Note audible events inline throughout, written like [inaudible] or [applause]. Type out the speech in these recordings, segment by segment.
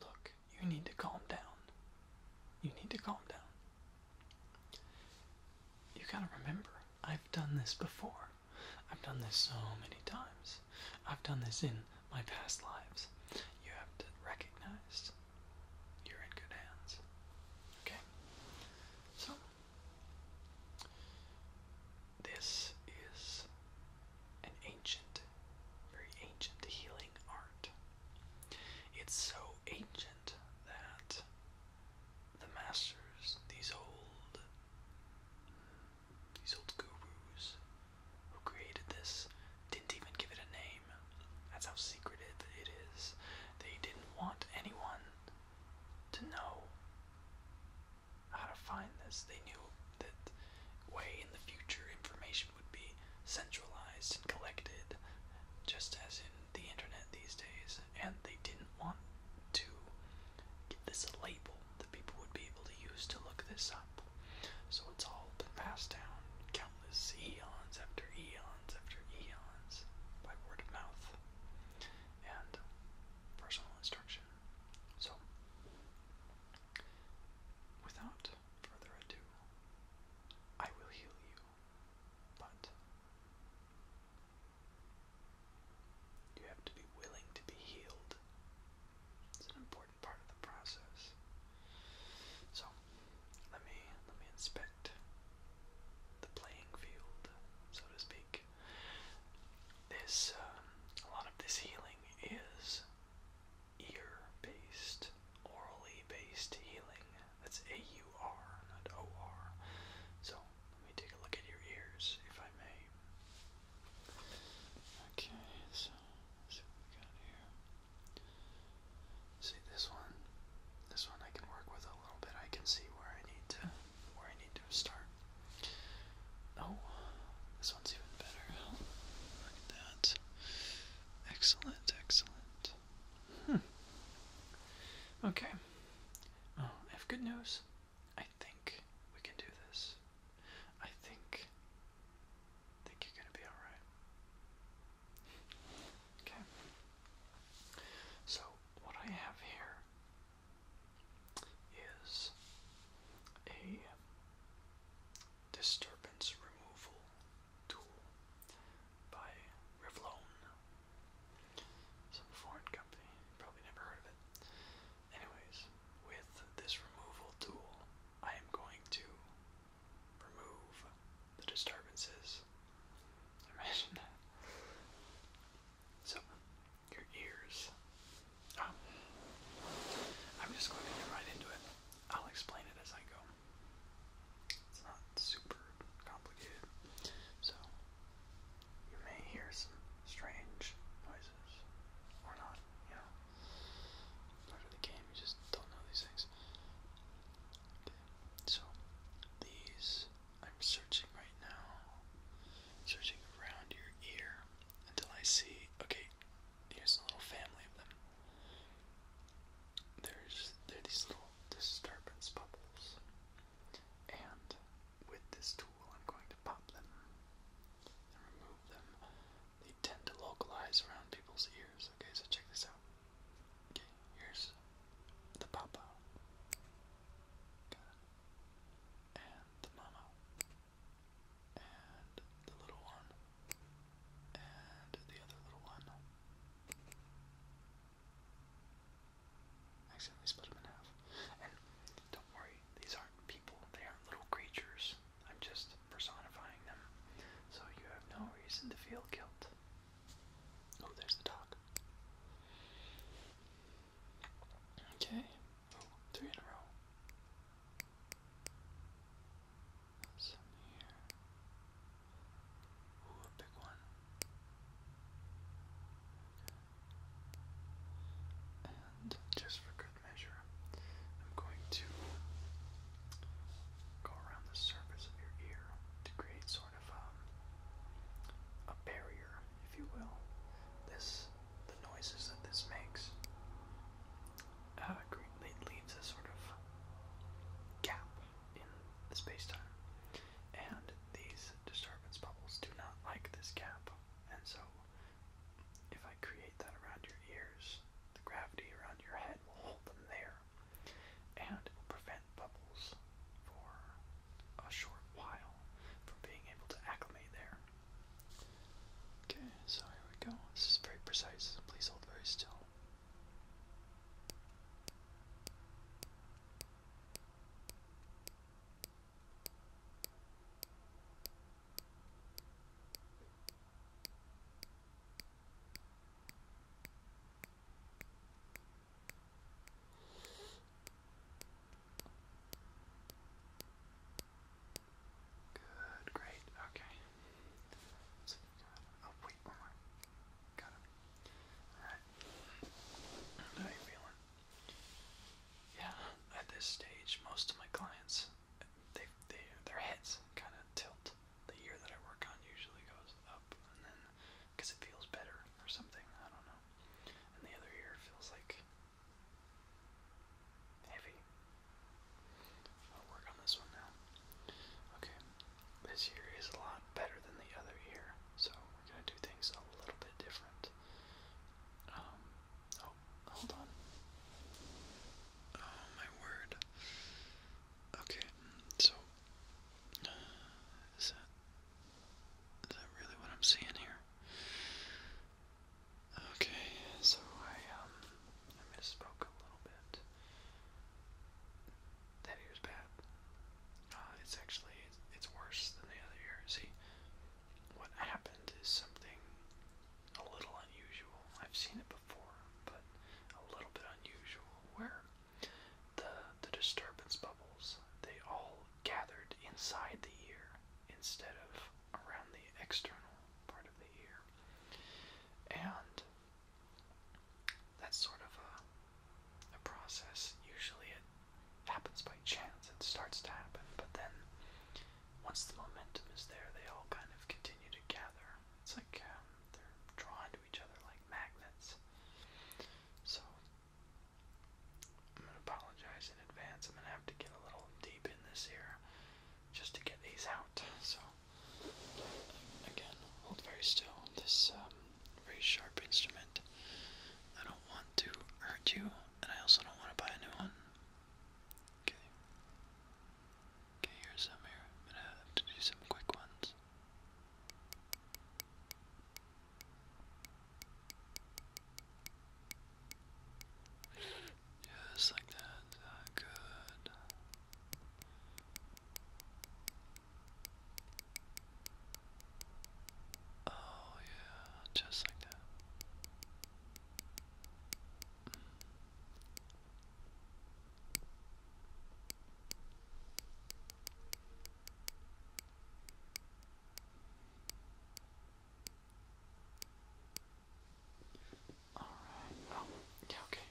Look, you need to calm down. You need to calm down. You gotta remember, I've done this before. I've done this so many times. I've done this in my past lives. You have to recognize you're in good hands. Okay? So, this is an ancient very ancient healing art. It's so ancient that the masters, these old these old gurus who created this didn't even give it a name. That's how secret it is. They didn't want anyone to know how to find this. They knew that way in the future information would be centralized and collected, just as in the internet these days, and they didn't want to give this a label that people would be able to use to look this up. So it's all been passed down countless eons after eons after eons by word of mouth and personal instruction. So Without further ado, I will heal you, but you have to be willing to be healed. It's an important part of the process. So, let me let me inspect the playing field, so to speak. This um, a lot of this healing is ear based, orally based healing. That's A U R, not O R. So let me take a look at your ears, if I may. Okay, so see we got here. See this one? This one I can work with a little bit. I can see where I need to where I need to start. Oh, this one's even better. look at that. Excellent, excellent. Hmm. Okay. Oh, I have good news. I think we can do this. I think. think you're gonna be alright. Okay. So, what I have here is a um, disturbance removal tool by Revlon. Some foreign company, probably never heard of it. Anyways, with this removal tool, I am going to remove the disturbances. [laughs] Imagine that. So, your ears Ah. I'm just going right into it. I'll explain it as I go. It's not super complicated. So, you may hear some strange noises or not, you know. Part of the game, you just don't know these things. Okay, so these I'm searching right now, searching around your ear until I see. Okay, here's a little family of them. There's there are these little disturbance bubbles, and with this tool, I'm going to pop them and remove them. They tend to localize around people's ears. Okay, so check this out. Okay, here's the papa, and the mama and the little one, and the other little one. Actually, we split them in half. And don't worry, these aren't people, they are little creatures. I'm just personifying them. So you have no reason to feel guilt. Oh, there's the dog. Okay. Oh, three in a row just for good measure, I'm going to go around the surface of your ear to create sort of um, a barrier, if you will. This the noises that this makes uh, it leaves a sort of gap in space-time, and these disturbance bubbles do not like this gap, and so if I create that around your ears, the gravity around your head will hold them there, and it will prevent bubbles for a short while from being able to acclimate there. Okay, so here we go. This is very precise. Please hold very still. Good, great, okay. oh, wait, one more. Got him. Alright. How you feeling? Yeah, at this stage, most of my clients, they, they their heads kind of tilt. The year that I work on usually goes up, and then, because it feels better or something, I don't know. And the other ear feels like Heavy. I'll work on this one now. Okay, this ear is a lot better than the other year, so we're gonna do things a little bit different. Um, oh, hold on. Oh my word. Okay, so is that is that really what I'm seeing here? Okay, so I um I misspoke a little bit. That ear's bad. Uh, it's actually it's worse than the other year. See, what happened is something a little unusual. I've seen it before, but a little bit unusual where the the disturbance bubbles they all gathered inside the ear instead of around the external part of the ear. And that's sort of a, a process. Usually it happens by chance, it starts to happen, but then once the momentum is there, they all kind of continue to gather. It's like um, they're drawn to each other like magnets. So, I'm going to apologize in advance. I'm going to have to get a little deep in this here just to get these out. So again, hold very still. This very um, sharp instrument. I don't want to hurt you, and I also don't want to buy a new one. Okay. Okay, here's some here. I'm gonna have to do some quick ones. Just like that. Uh, good. Oh, yeah, just like that yeah, oh, okay.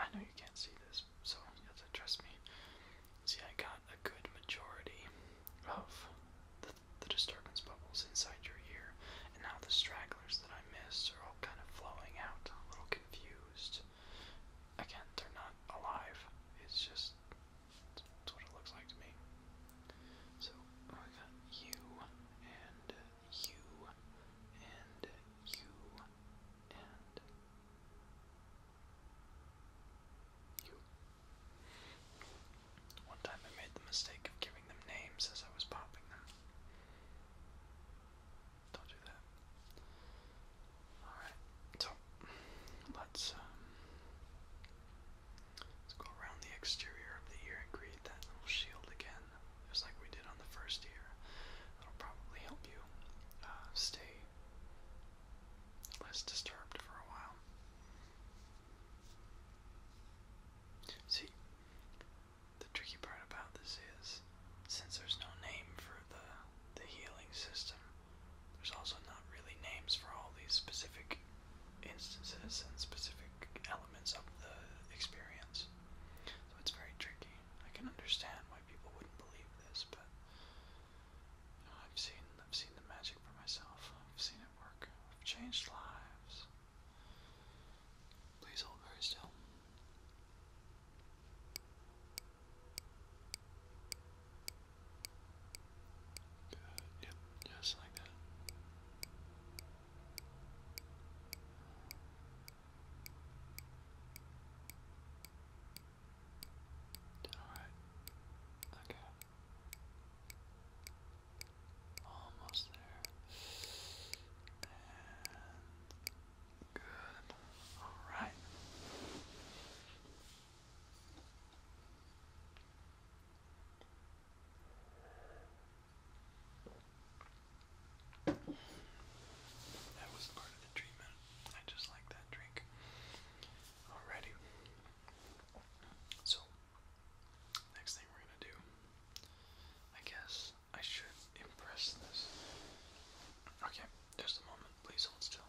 I know you can't see this, so you have to trust me. See, I got a good majority of the, disturbance bubbles inside your ear, and now the stragglers that I missed are all kind of flowing out, a little confused. Again, they're not alive, it's just that's what it looks like to me. So we got you and you and you and you. One time I made the mistake of giving them names as I was popping them. Don't do that. Alright, so let's um Let's go around the exterior of the ear and create that little shield again, just like we did on the first ear. That'll probably help you uh, stay less disturbed for a while. See, the tricky part about this is, since there's no name for the the healing system, there's also not really names for all these specific instances and specific elements of the experience. So it's very tricky. I can understand why people wouldn't believe this, but I've seen I've seen the magic for myself. I've seen it work. I've changed lives. Please hold very still. Yep. Just like that. Alright. Okay. Almost there. good. Alright. That was part of the treatment. I just like that drink. Alrighty. So, next thing we're gonna do, I guess I should impress this. Okay, just a moment. Please hold still.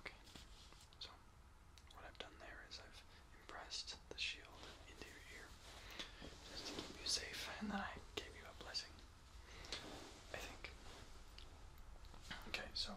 Okay, so what I've done there is I've impressed the shield into your ear just to keep you safe, and then I gave you a blessing. I think. Okay, so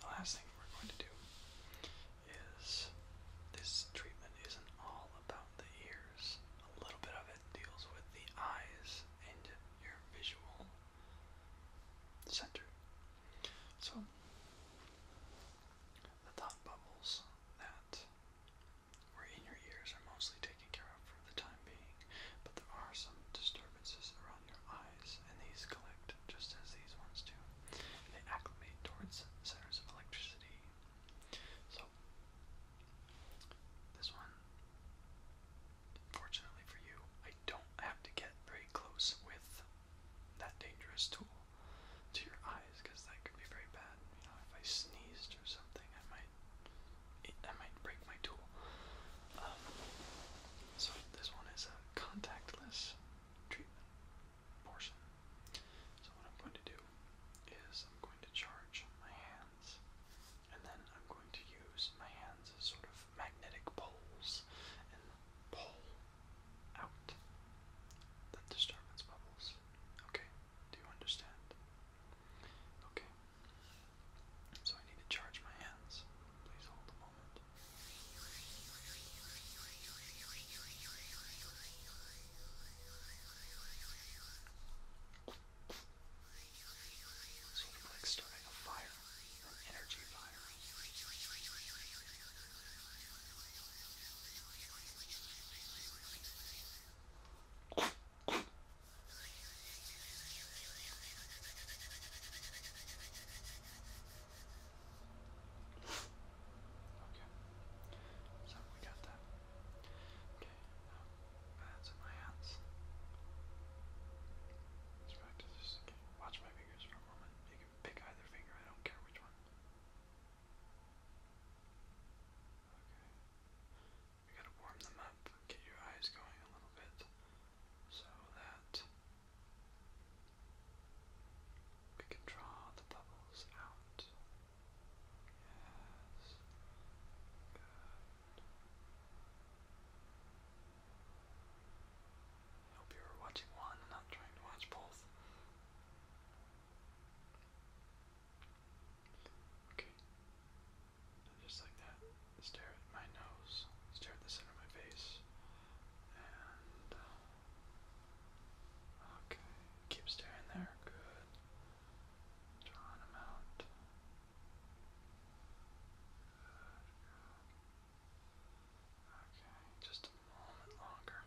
the last thing we're going to do is this treatment isn't all about the ears. A little bit of it deals with the eyes and your visual center. So the thought bubbles that were in your ears are mostly taken care of for the time being, but there are some disturbances around your eyes, and these collect just as these ones do. They acclimate towards centers of electricity. So this one fortunately for you, I don't have to get very close with that dangerous tool to your eyes because that could be very bad. You know, if I sneezed or something, I might I might break my tool. Um, so this one is a contactless treatment portion. So what I'm going to do is I'm going to charge my hands, and then I'm going to use my hands as sort of magnetic poles and pull out the disturbance bubbles. Okay, do you understand? Okay, so I need to charge my hands. Please hold a moment. Sort of like starting a fire, an energy fire. Okay, so we got that. Okay, now bands in my hands. Let's practice again. Watch my fingers for a moment. You can pick either finger, I don't care which one. Okay. We gotta warm them up, get your eyes going a little bit so that we can draw the bubbles out. Yes. Good. I hope you were watching one and not trying to watch both. Okay. just like that, stare at my nose, stare at the center of my face, uh, okay, keep staring there. Good. Draw them out. Okay, just a moment longer.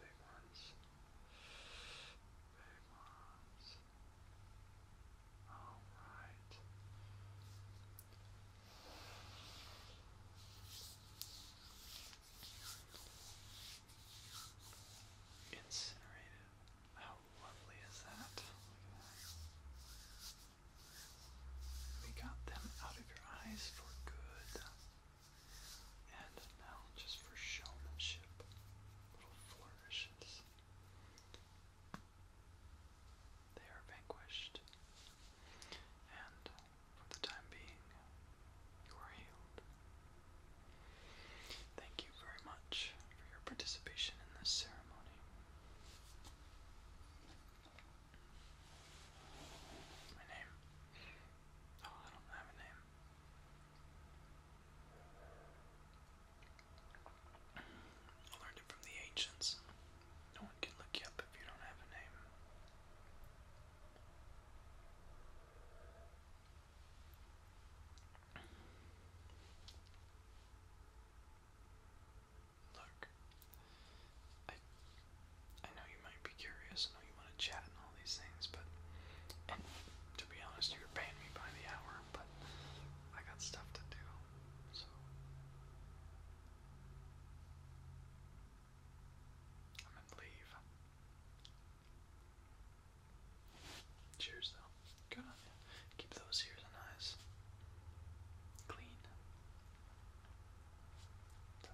Big ones. Big ones. All right. Incinerated. How lovely is that? We got them out of your eyes for good. And now, just for showmanship, little flourishes. They are vanquished. And for the time being, you are healed. Thank you very much for your participation in this ceremony. My name? Oh, I don't have a name. I learned it from the ancients. No one can look you up if you don't have a name. Look, I I know you might be curious. I know you want to chat and all these things, but to be honest, you're paying me by the hour, but I got stuff to do, so. I'm gonna leave. Cheers, though. Good on you. Keep those ears and eyes clean. Ta